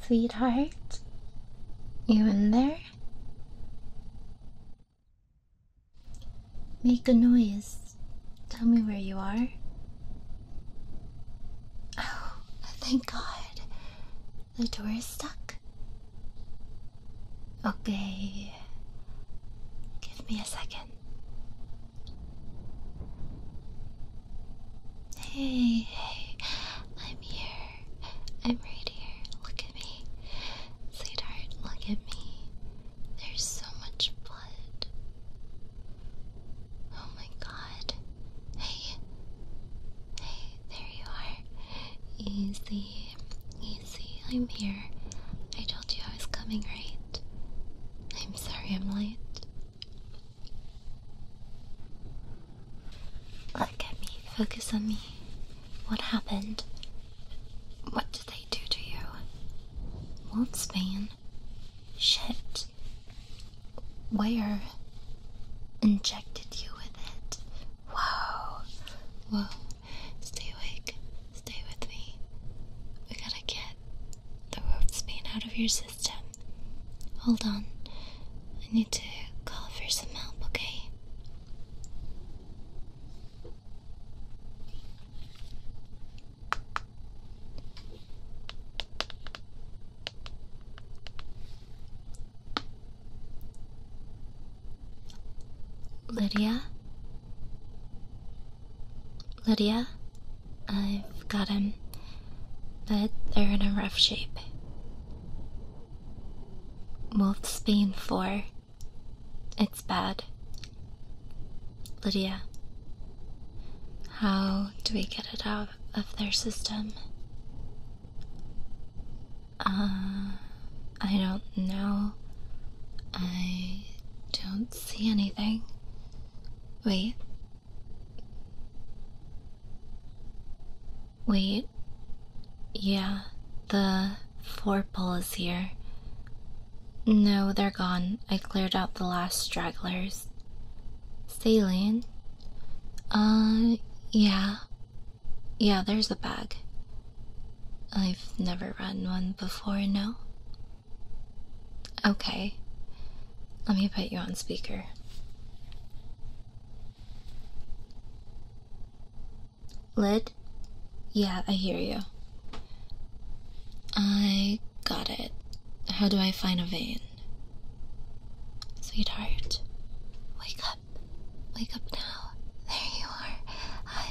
Sweetheart, you in there? Make a noise. Tell me where you are. Oh, thank God. The door is stuck. Okay. Give me a second. Hey, hey, I'm here. I'm right here. Look at me. Sweetheart, look at me. There's so much blood. Oh my god. Hey, hey, there you are. Easy, easy. I'm here. I told you I was coming, right? I'm sorry I'm late. Look at me, focus on me. What happened? What did they do to you? Wolfsbane? Shit. Where? Injected you with it. Whoa. Whoa. Stay awake. Stay with me. We gotta get the Wolfsbane out of your system. Hold on. I need to call for some help, okay? Lydia? Lydia? I've got them, but they're in a rough shape. Wolf's Bane for? It's bad. Lydia, how do we get it out of their system? Uh, I don't know. I don't see anything. Wait. Wait. Yeah, the four pole is here. No, they're gone. I cleared out the last stragglers. Saline? Uh, yeah. Yeah, there's a bag. I've never run one before, no? Okay. Let me put you on speaker. Lid? Yeah, I hear you. I got it. How do I find a vein? Sweetheart, wake up. Wake up now. There you are. I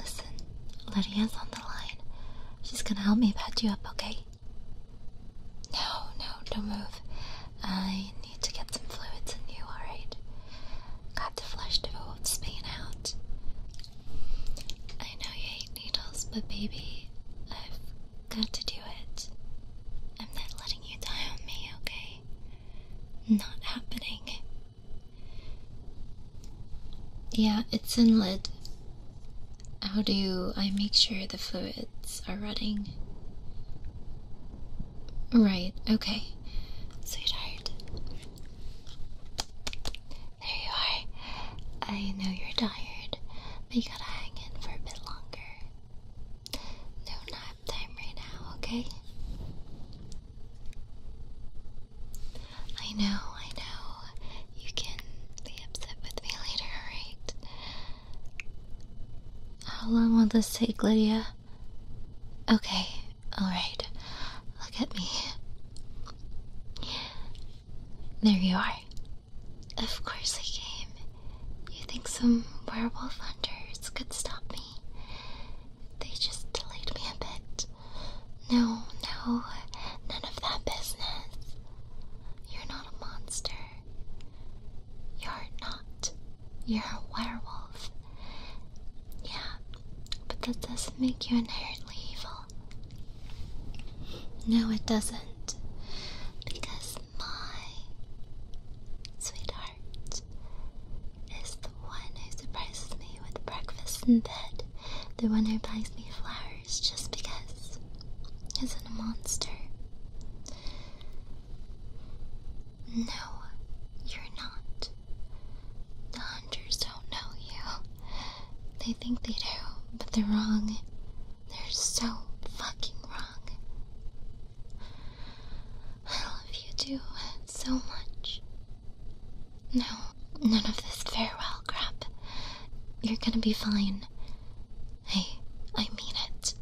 Listen, Lydia's on the line. She's gonna help me patch you up, okay? No, no, don't move. I need to get some fluids in you, alright? Got to flush the old Spain out. I know you hate needles, but baby, I've got to do it. I'm not letting you die on me, okay? Not happening. Yeah, it's in lid. How do I make sure the fluids are running? Right, okay. Sweetheart. There you are. I know you're tired, but you gotta hang in for a bit longer. No nap time right now, okay? I know, I know. You can be upset with me later, right? How long will this take, Lydia? Okay, alright. Look at me. There you are. Of course I came. You think some werewolf hunters could stop me? They just delayed me a bit. No, no, none of that business. You're not a monster. You're not. You're a werewolf. Yeah, but that doesn't make you inherently evil. No, it doesn't. Because my sweetheart is the the one who surprises me with breakfast in bed, the one who buys me flowers just because. Isn't a monster. No, you're not. The hunters don't know you. They think they do, but they're wrong. They're so fucking wrong. I love you two so much. No, none of this farewell crap. You're gonna be fine. Hey, I mean it.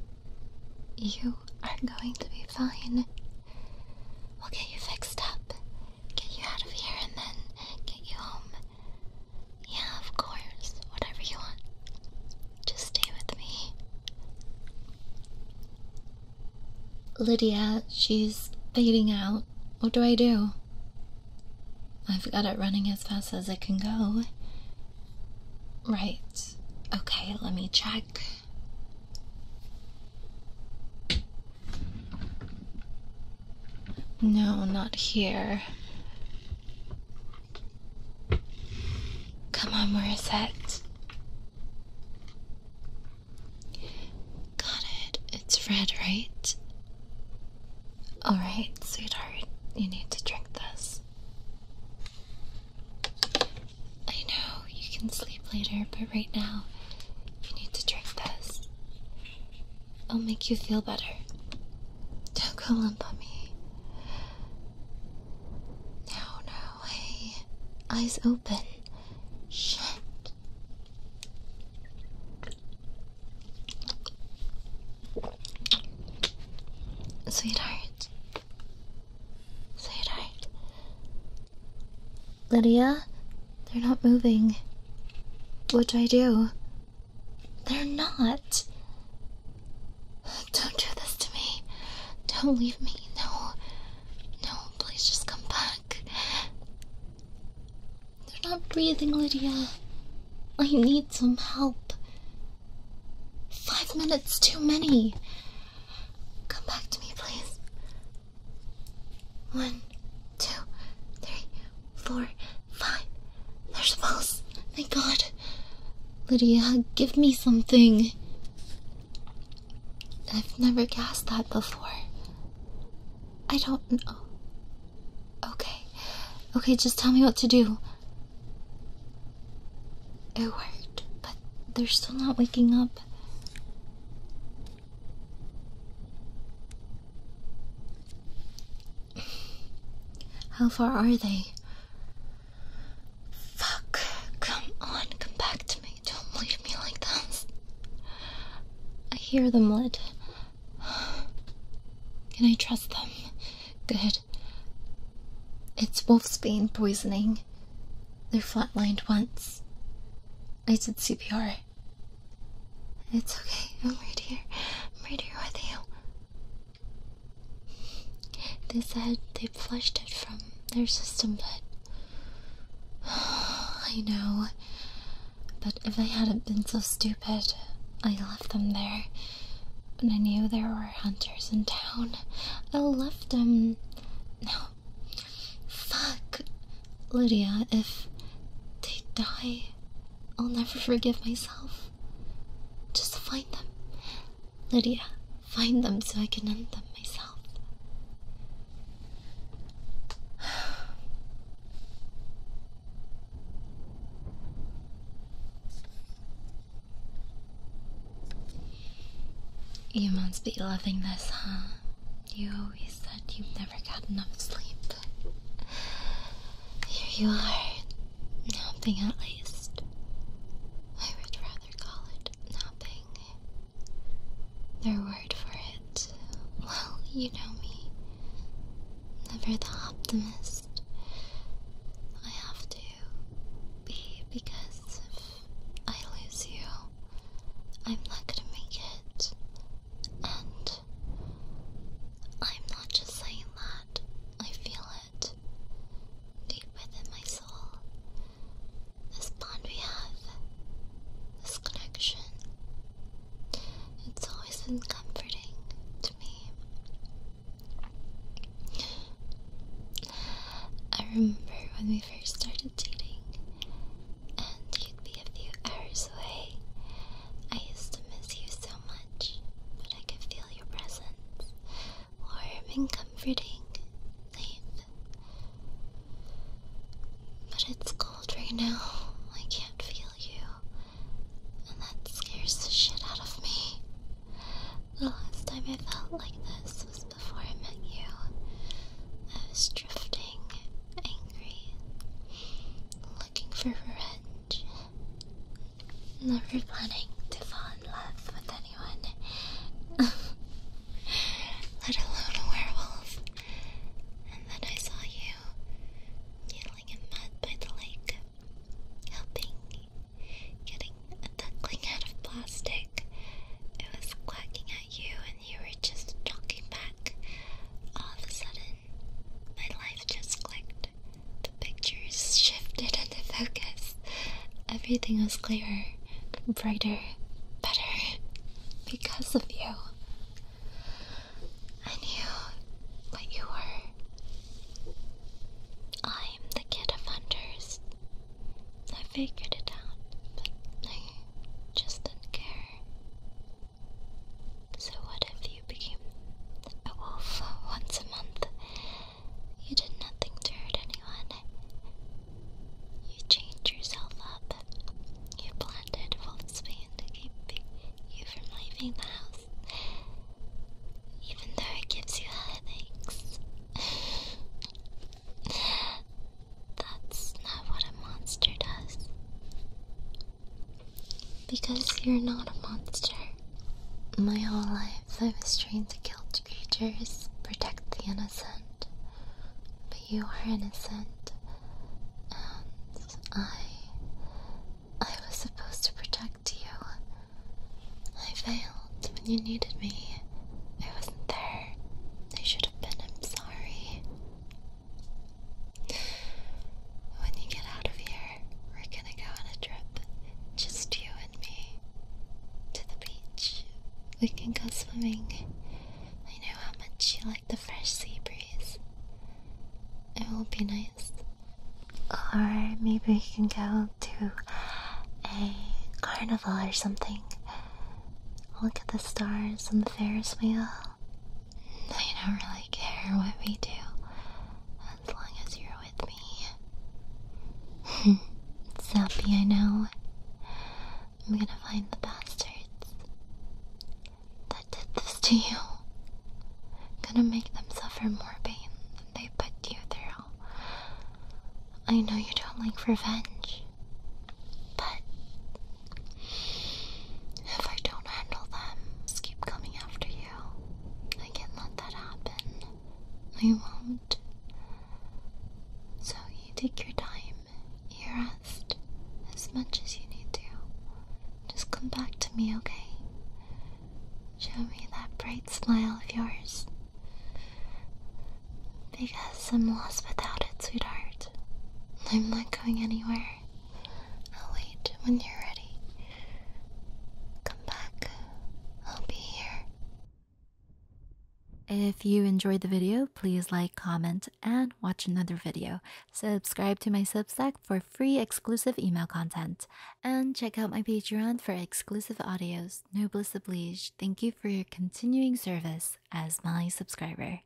You are going to be fine. We'll get you fixed up, get you out of here, and then get you home. Yeah, of course, whatever you want. Just stay with me. Lydia, she's fading out. What do I do? I've got it running as fast as it can go. Right. Okay, let me check. No, not here. Come on, Morissette. Got it. It's red, right? Alright, sweetheart, you need to drink this. I know you can sleep later, but right now you need to drink this. It'll make you feel better. Don't go limp on me. No, no, hey, eyes open. Shit. Sweetheart. Sweetheart. Lydia, they're not moving. What do I do? They're not. Don't do this to me. Don't leave me. No. No, please just come back. They're not breathing, Lydia. I need some help. Five minutes too many. Come back to me, please. One, two, three, four, five. There's a pulse. My god. Lydia, give me something. I've never guessed that before. I don't know. Oh. Okay. Okay, just tell me what to do. It worked, but they're still not waking up. How far are they? Fuck. Come on, come back to me. Don't leave me like this. I hear them lit. Can I trust them? Good. It's wolfsbane poisoning. They're flatlined once. I did CPR. It's okay. I'm right here. I'm right here with you. They said they flushed it from their system, but. I know. But if I hadn't been so stupid, I left them there. When I knew there were hunters in town, I left them. No. Fuck. Lydia, if they die, I'll never forgive myself. Just find them. Lydia, find them so I can end them myself. You must be loving this, huh? You always said you have never got enough sleep. Here you are, napping at least. I would rather call it napping. Their word for it, well, you know me. Never the optimist. I have to be because if I lose you, I'm not gonna make it. And I'm not just saying that, I feel it deep within my soul, this bond we have, this connection, it's always been comforting to me. I remember when we first started dating, and you'd be a few hours away. I used to miss you so much, but I can feel your presence warm and comforting, safe. But it's cold right now, I can't feel you, and that scares the shit out of me. The last time I felt like this was before I met you. I was drifting, angry, looking for revenge never planning to fall in love with anyone, let alone a werewolf. And then I saw you kneeling in mud by the lake, helping getting a duckling out of plastic. It was quacking at you, and you were just talking back. All of a sudden, my life just clicked. The pictures shifted and the focus. Everything was clearer, brighter, better because of you. I knew what you were. I am the kid of hunters. I figured it out, but I just didn't care. So, what if you became a wolf once a month? You did nothing to hurt anyone. You changed yourself up. You planted wolfsbane to keep you from leaving the house, even though it gives you headaches. That's not what a monster does. Because you're not a monster. My whole life I was trained to kill creatures, protect the innocent. But you are innocent. And I. I was supposed to protect you. I failed when you needed me. I wasn't there. I should have been. I'm sorry. When you get out of here, we're gonna go on a trip, just you and me, to the beach. We can go swimming. I know how much you like the fresh sea breeze. It will be nice. Or maybe we can go to a carnival or something. Look at the stars on the Ferris wheel. I don't really care what we do as long as you're with me. it's happy, I know. I'm gonna find the bastards that did this to you. I'm gonna make them suffer more pain than they put you through. I know you don't like revenge, but if I don't handle them, just keep coming after you. I can't let that happen. I won't. So you take your time, you rest as much as you need to. Just come back to me, okay? Show me that bright smile of yours. Because I'm lost without it, sweetheart. I'm not going anywhere. I'll wait when you're ready. Come back. I'll be here. If you enjoyed the video, please like, comment, and watch another video. Subscribe to my Substack for free exclusive email content. And check out my Patreon for exclusive audios. Noblesse oblige, thank you for your continuing service as my subscriber.